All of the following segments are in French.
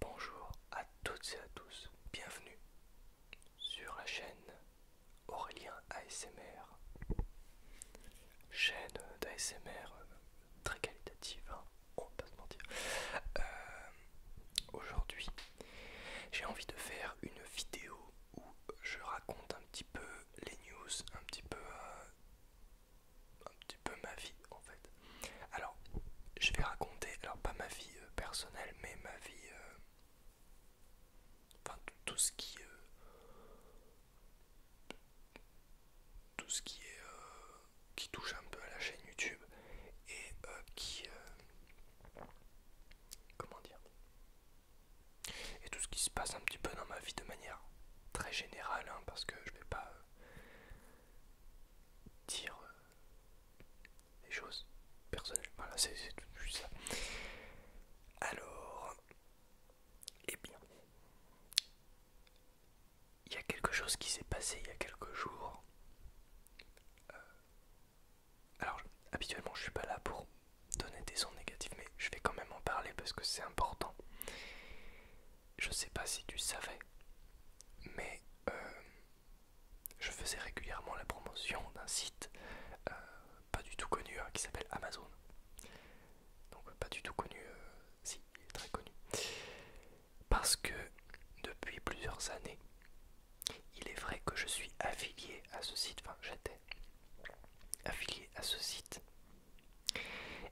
Bonjour à toutes et à tous, bienvenue sur la chaîne Aurélien ASMR. Chaîne d'ASMR euh, très qualitative, hein. on va pas se mentir. Euh, aujourd'hui, j'ai envie de faire une vidéo où je raconte un petit peu les news, un petit peu, euh, peu ma vie en fait. Alors, je vais raconter, alors pas ma vie euh, personnelle, mais ma vie. Euh, enfin, tout ce qui. Euh, tout ce qui est. qui touche un peu à la chaîne YouTube et qui. comment dire Et tout ce qui se passe un petit peu dans ma vie de manière très générale, hein, parce que je vais pas. dire des choses personnelles. Voilà, c'est juste Alors, eh bien, il y a quelque chose qui s'est passé il y a quelques jours. Euh, alors, habituellement, je suis pas là pour donner des sons négatifs, mais je vais quand même en parler parce que c'est important je sais pas si tu savais, mais euh, je faisais régulièrement la promotion d'un site euh, pas du tout connu hein, qui s'appelle Amazon. Donc pas du tout connu, euh, si, il est très connu. Parce que depuis plusieurs années, il est vrai que je suis affilié à ce site, enfin j'étais affilié à ce site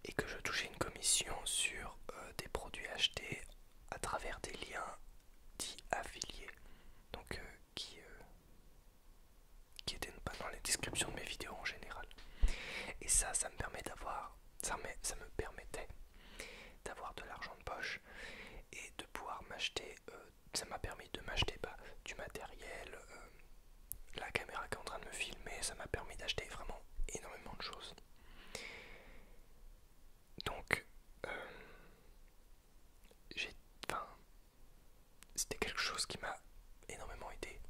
et que je touchais une commission sur des produits achetés à travers des liens dits affiliés, donc euh, qui, euh, qui étaient pas dans les descriptions de mes vidéos en général. Et ça, ça me permet d'avoir, ça me, permettait d'avoir de l'argent de poche et de pouvoir m'acheter, euh, ça m'a permis de m'acheter bah, du matériel, la caméra qui est en train de me filmer, ça m'a permis d'acheter vraiment énormément de choses. Donc, euh, j'ai, enfin, c'était quelque chose qui m'a énormément aidé.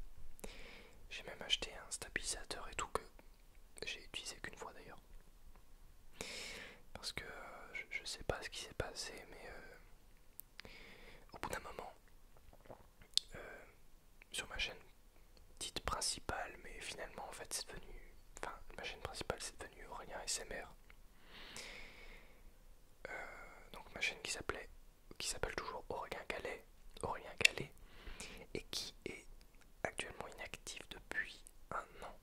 J'ai même acheté un stabilisateur et tout que j'ai utilisé qu'une fois d'ailleurs. Parce que euh, je, sais pas ce qui s'est passé, mais euh, au bout d'un moment, sur ma chaîne, titre principal, mais finalement en fait c'est devenu. Enfin, ma chaîne principale c'est devenu Aurélien SMR. Euh, donc ma chaîne qui s'appelait qui s'appelle toujours Aurélien Calais et qui est actuellement inactive depuis un an.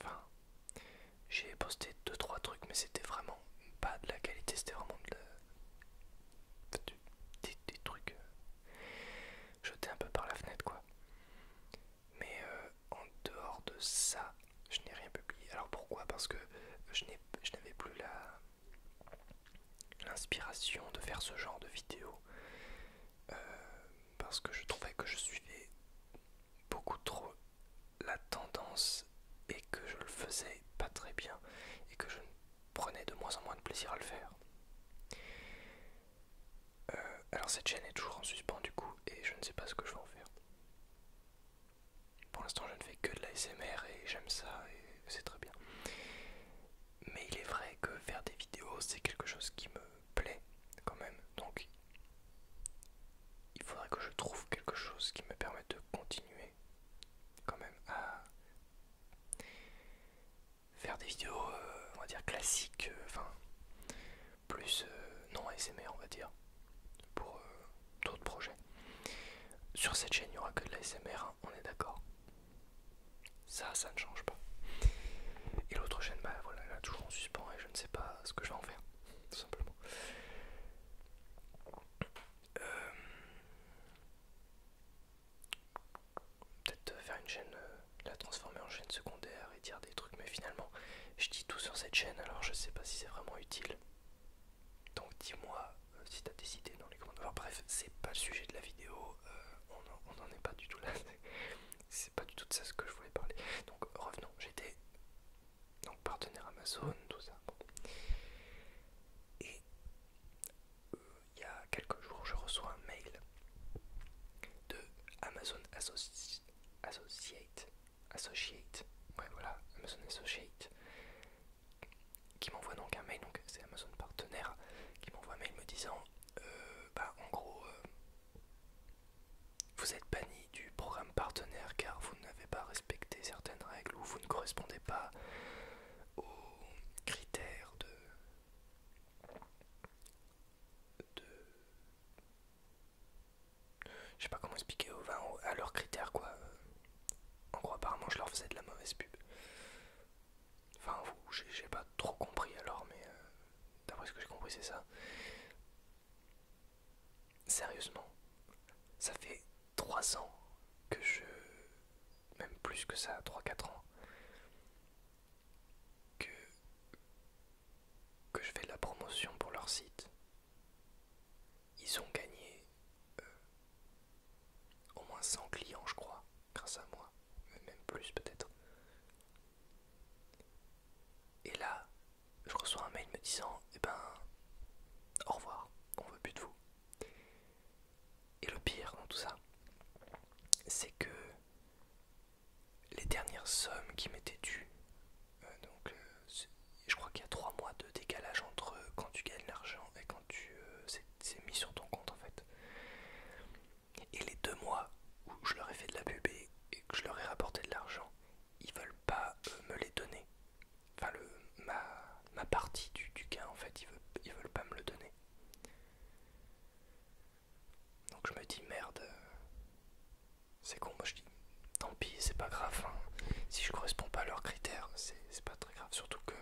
Enfin, j'ai posté 2-3 trucs, mais c'était vraiment pas de la qualité, c'était vraiment des trucs euh, jeter un peu par la fenêtre quoi. Mais euh, en dehors de ça, je n'ai rien publié. Alors pourquoi Parce que je n'avais plus la l'inspiration de faire ce genre de vidéo. Euh, parce que je trouvais que je suivais beaucoup trop la tendance et que je le faisais pas très bien et que je prenez de moins en moins de plaisir à le faire. Euh, alors cette chaîne est toujours en suspens du coup et je ne sais pas ce que je vais en faire. Pour l'instant je ne fais que de l'ASMR SMR et j'aime ça et c'est très bien. Mais il est vrai que faire des vidéos c'est quelque chose qui me plaît quand même. Donc il faudrait que je trouve quelque chose qui me permette de continuer quand même à faire des vidéos, euh, on va dire classiques, euh, enfin, plus euh, non ASMR, on va dire, pour d'autres projets. Sur cette chaîne, il n'y aura que de l'ASMR, hein, on est d'accord. Ça, ça ne change pas. Et l'autre chaîne, bah voilà, elle est toujours en suspens et je ne sais pas ce que je vais en faire, simplement peut-être euh, faire une chaîne, euh, la transformer en chaîne secondaire et dire des trucs, mais finalement, je dis tout sur cette chaîne, alors je sais pas si c'est vraiment utile. Donc dis-moi euh, si t'as des idées dans les commentaires. bref, c'est pas le sujet de la vidéo, on n'en est pas du tout là. c'est pas du tout de ça ce que je voulais parler. Donc revenons, j'étais donc partenaire Amazon, tout ça. Et il y a quelques jours, je reçois un mail de Amazon Associate, Associate, ouais voilà, Amazon Associate, qui m'envoie donc un mail, donc c'est Amazon partenaire, qui m'envoie un mail me disant, euh, bah en gros, euh, vous êtes banni du programme partenaire car vous n'avez pas respecté certaines règles ou vous ne correspondez pas aux critères de de... Je sais pas comment expliquer aux vins à leurs critères quoi. En gros apparemment je leur faisais de la mauvaise pub. Enfin j'ai pas trop compris alors mais euh, d'après ce que j'ai compris c'est ça. Sérieusement, ça fait 3 ans que je même plus que ça, 3-4 ans, que, que je fais la promotion pour leur site. Ils ont gagné euh, au moins 100 clients, je crois, grâce à moi, même plus peut-être. Et là, je reçois un mail me disant, eh ben, au revoir, on veut plus de vous. Et le pire dans tout ça, c'est que les dernières sommes qui m'étaient dues, euh, donc euh, je crois qu'il y a trois mois de décalage entre euh, quand tu gagnes l'argent et quand tu c'est mis sur ton compte en fait. Et les deux mois où je leur ai fait de la pub et, que je leur ai rapporté de l'argent, ils veulent pas me les donner. Enfin le ma, ma partie du, gain en fait, ils ils veulent pas me le donner. Donc je me dis merde, euh, c'est con, moi je dis tant pis, c'est pas grave, hein. si je corresponds pas à leurs critères, c'est pas très grave, surtout que...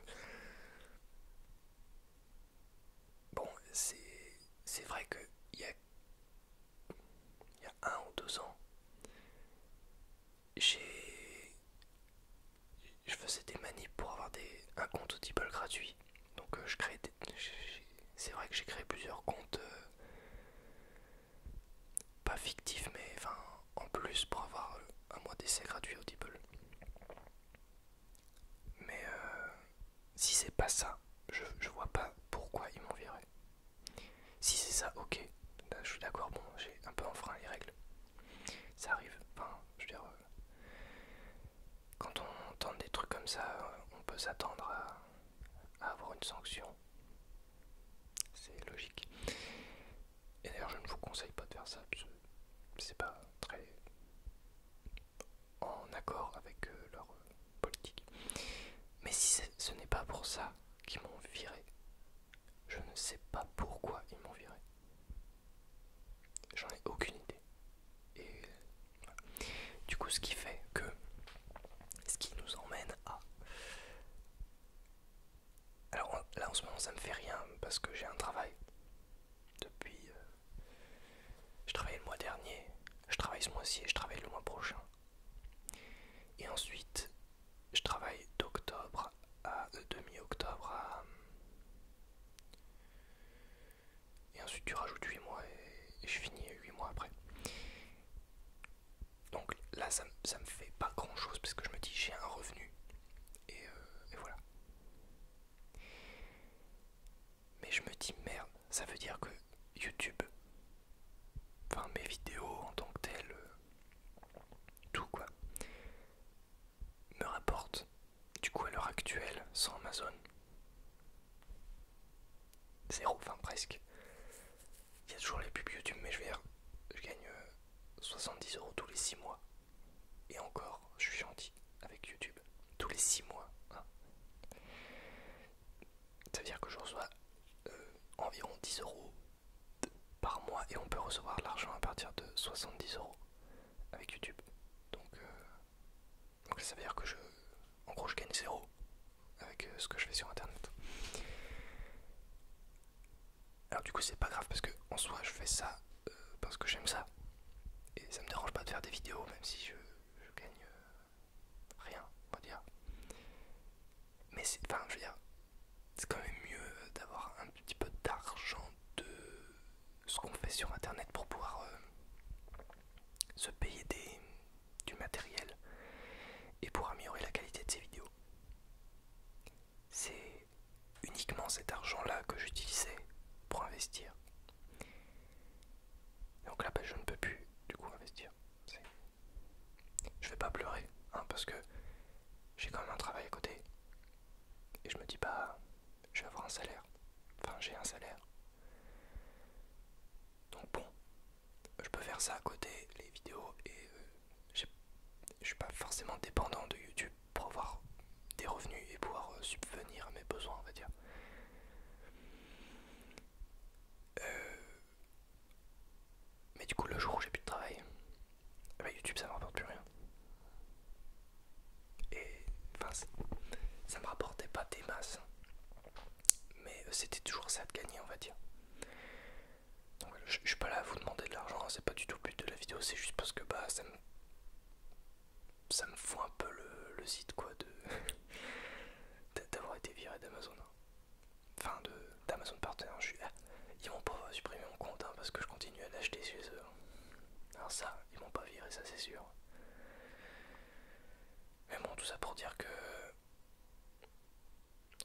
Bon, c'est vrai qu'il y y a un ou deux ans, j'ai je faisais des manips pour avoir des, un compte Audible gratuit. Donc euh, je crée c'est vrai que j'ai créé plusieurs comptes euh, pas fictifs mais enfin en plus pour avoir euh, un mois d'essai gratuit Audible. Mais si c'est pas ça, je, vois pas pourquoi ils m'ont Si c'est ça, ok. je suis d'accord, bon, j'ai un peu enfreint les règles. Ça arrive, enfin, je veux dire, euh, quand on tente des trucs comme ça, euh, on peut s'attendre à, avoir une sanction. C'est logique. Et d'ailleurs, je ne vous conseille pas de faire ça, parce que c'est pas très en accord avec euh, leur politique. Mais si ce n'est pas pour ça qu'ils m'ont viré, je ne sais pas pourquoi ils m'ont viré. J'en ai aucune idée. Et Du coup, ce qui fait que ce qui nous emmène à. Alors là en ce moment, ça me fait rien parce que j'ai un travail. Depuis. Euh, je travaillais le mois dernier, je travaille ce mois-ci et je travaille le mois prochain. Et ensuite, je travaille d'octobre à. Euh, de mi-octobre à. Et ensuite tu rajoutes 8 mois et, je finis 8 mois après. Donc là ça, me fait pas grand chose parce que je me dis j'ai un revenu euh, et, voilà. Mais je me dis merde, ça veut dire que YouTube, enfin mes vidéos en tant que telles, euh, tout quoi, me rapporte du coup à l'heure actuelle sans Amazon Zéro, enfin presque. Il y a toujours les pubs YouTube, mais je vais je gagne 70 euh, euros tous les 6 mois. Et encore, je suis gentil avec YouTube. Tous les 6 mois. Hein. Ça veut dire que je reçois euh, environ 10 euros par mois et on peut recevoir l'argent à partir de 70 euros avec YouTube. Donc, euh, donc ça veut dire que je, en gros, je gagne zéro avec euh, ce que je fais sur Internet. Alors du coup, c'est pas grave parce que en soi, je fais ça euh, parce que j'aime ça et ça me dérange pas de faire des vidéos, même si je, gagne rien, on va dire. Mais c'est, enfin, je veux dire, c'est quand même mieux d'avoir un petit peu d'argent de ce qu'on fait sur internet pour pouvoir euh, se payer des, du matériel et pour améliorer la qualité de ses vidéos. C'est uniquement cet argent-là que j'utilisais pour investir. Donc là, ben, je ne peux plus du coup investir. Je vais pas pleurer, hein, parce que j'ai quand même un travail à côté. Et je me dis, pas... Bah, je vais avoir un salaire. Enfin, j'ai un salaire. Donc bon, je peux faire ça à côté, les vidéos, et euh, je suis pas forcément dépendant de YouTube pour avoir des revenus et pouvoir euh, subvenir à mes besoins, on va dire. Euh, mais du coup, le jour où j'ai plus de travail, ah bah YouTube ça me rapporte plus rien. Et enfin, ça, me rapportait pas des masses, mais euh, c'était toujours ça de gagner, on va dire. Donc je, suis pas là à vous demander de l'argent, hein, c'est pas du tout le but de la vidéo, c'est juste parce que bah ça me ça me fout un peu le, le quoi de d'avoir été viré d'Amazon. Hein. Enfin de d'Amazon partenaire, hein, ah, ils vont pas supprimer mon compte parce que je continue à l'acheter chez eux. Alors ça, ils vont pas virer ça c'est sûr. Mais bon, tout ça pour dire que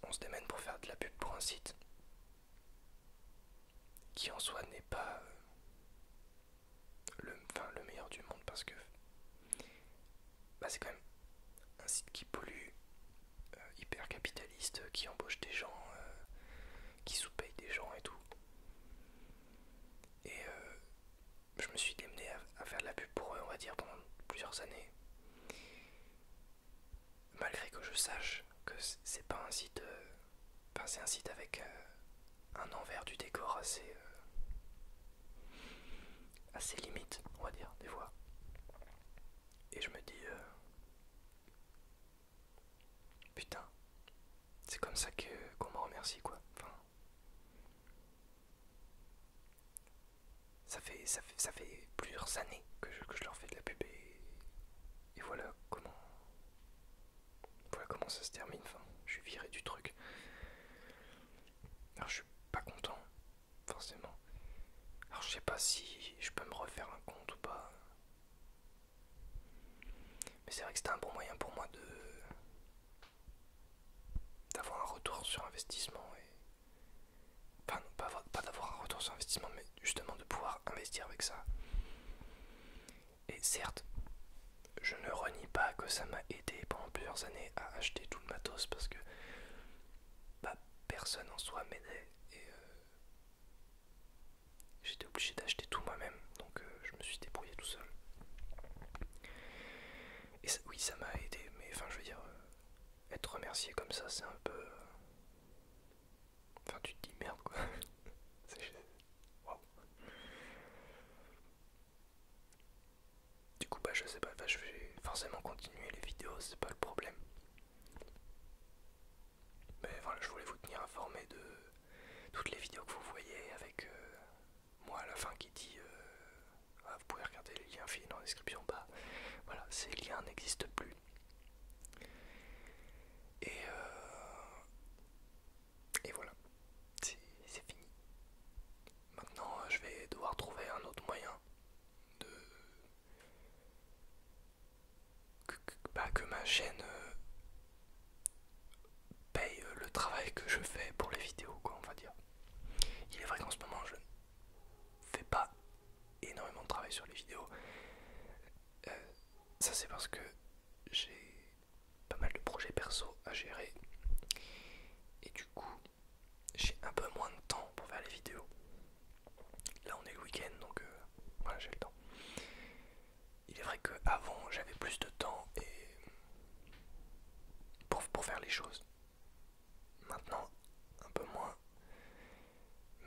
on se démène pour faire de la pub pour un site qui en soi n'est pas le, meilleur du monde parce que bah, c'est quand même un site qui pollue, euh, hyper capitaliste, qui embauche des gens, euh, qui sous-paye des gens et tout. Et euh, je me suis démené à, faire de la pub pour eux, on va dire, pendant plusieurs années. Malgré que je sache que c'est pas un site. Euh, c'est un site avec euh, un envers du décor assez. assez limite, on va dire, des fois. Et je me dis. Putain, c'est comme ça que qu'on me remercie quoi. Enfin, ça fait plusieurs années que je, leur fais de la pub et, voilà comment voilà comment ça se termine. Enfin, je suis viré du truc. Alors je suis pas content forcément. Alors je sais pas si je peux me refaire un compte ou pas. Mais c'est vrai que c'était un bon moyen pour moi de d'avoir un retour sur investissement et enfin non, pas, pas d'avoir un retour sur investissement mais justement de pouvoir investir avec ça et certes je ne renie pas que ça m'a aidé pendant plusieurs années à acheter tout le matos parce que bah, personne en soi m'aidait et euh, J'étais obligé d'acheter tout moi-même, donc euh, je me suis débrouillé tout seul. Et oui, ça m'a aidé, mais enfin, je veux dire, euh, être remercié comme ça, c'est un peu. Euh, enfin, tu te dis merde quoi. Du coup, bah, je sais pas, je vais forcément continuer les vidéos, c'est pas le problème. Mais ben voilà, je voulais vous tenir informé de toutes les vidéos que vous voyez avec euh, moi à la fin qui dit euh, ah, vous pouvez regarder les liens finis dans la description. bas ». voilà, ces liens n'existent plus. Et, euh, et voilà, c'est fini. Maintenant, je vais devoir trouver un autre moyen de que, bah, que ma chaîne euh, paye euh, le travail que je fais pour les vidéos, quoi, on va dire. Il est vrai qu'en ce moment, je ne fais pas énormément de travail sur les vidéos. Euh, ça, c'est parce que j'ai pas mal de projets perso à gérer. Et du coup, j'ai un peu moins de temps pour faire les vidéos. Là, on est le week-end, donc voilà, j'ai le temps. Il est vrai qu'avant j'avais plus de temps et pour, faire les choses. Maintenant, un peu moins.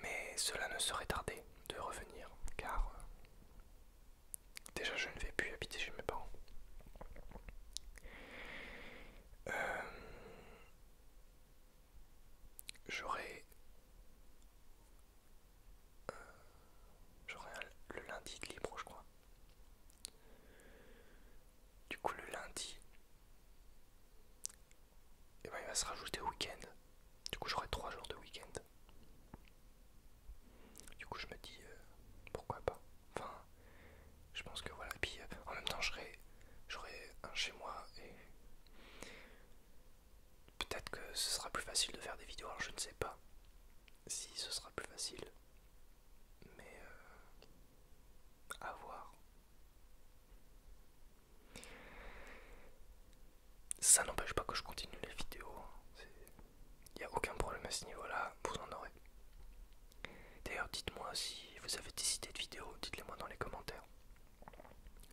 Mais cela ne serait tardé de revenir, car euh, déjà je ne vais plus habiter chez mes parents. Euh, j'aurais j'aurai euh, le lundi de libre, je crois. Du coup, le lundi, et eh ben, il va se rajouter au week-end. Du coup, j'aurai trois jours de week-end. Du coup, je me dis euh, pourquoi pas. Enfin, je pense que voilà. Puis euh, en même temps, j'aurai un chez moi et peut-être que ce sera plus facile de faire des vidéos, je ne sais pas si ce sera plus facile, mais euh, à voir. Ça n'empêche pas que je continue les vidéos, il hein. n'y a aucun problème à ce niveau-là, vous en aurez. D'ailleurs, dites-moi si vous avez des idées de vidéos, dites-les moi dans les commentaires.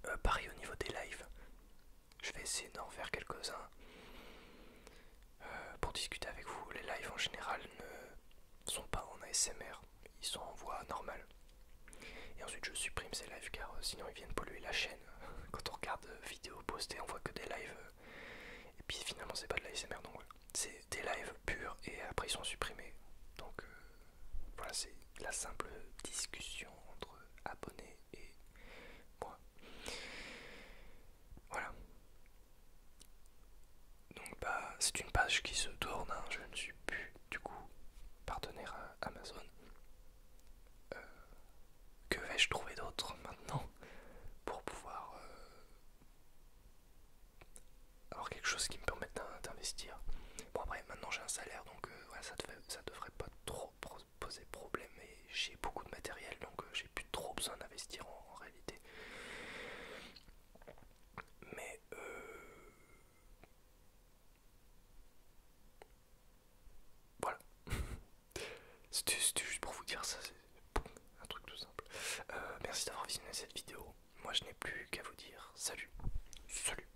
Euh, pareil au niveau des lives, je vais essayer d'en faire quelques-uns euh, pour discuter avec vous. Les lives en général ne sont pas en ASMR, ils sont en voix normale. Et ensuite je supprime ces lives car euh, sinon ils viennent polluer la chaîne. Quand on regarde des euh, vidéos postées, on voit que des lives. et puis finalement c'est pas de l'ASMR donc C'est des lives purs et après ils sont supprimés. Donc voilà, c'est la simple discussion entre abonnés et Voilà. Donc bah c'est une page qui se tourne, hein. je ne suis plus du coup partenaire à Amazon. Euh, que vais-je trouver d'autre maintenant pour pouvoir euh, avoir quelque chose qui me permette d'investir Bon après maintenant j'ai un salaire donc euh, ça, ça devrait pas trop poser problème et j'ai beaucoup de matériel donc euh, j'ai plus trop besoin d'investir en, réalité. Mais euh, voilà, c'était juste pour vous dire ça, c'est un truc tout simple. Euh, merci d'avoir visionné cette vidéo. Moi je n'ai plus qu'à vous dire salut, salut.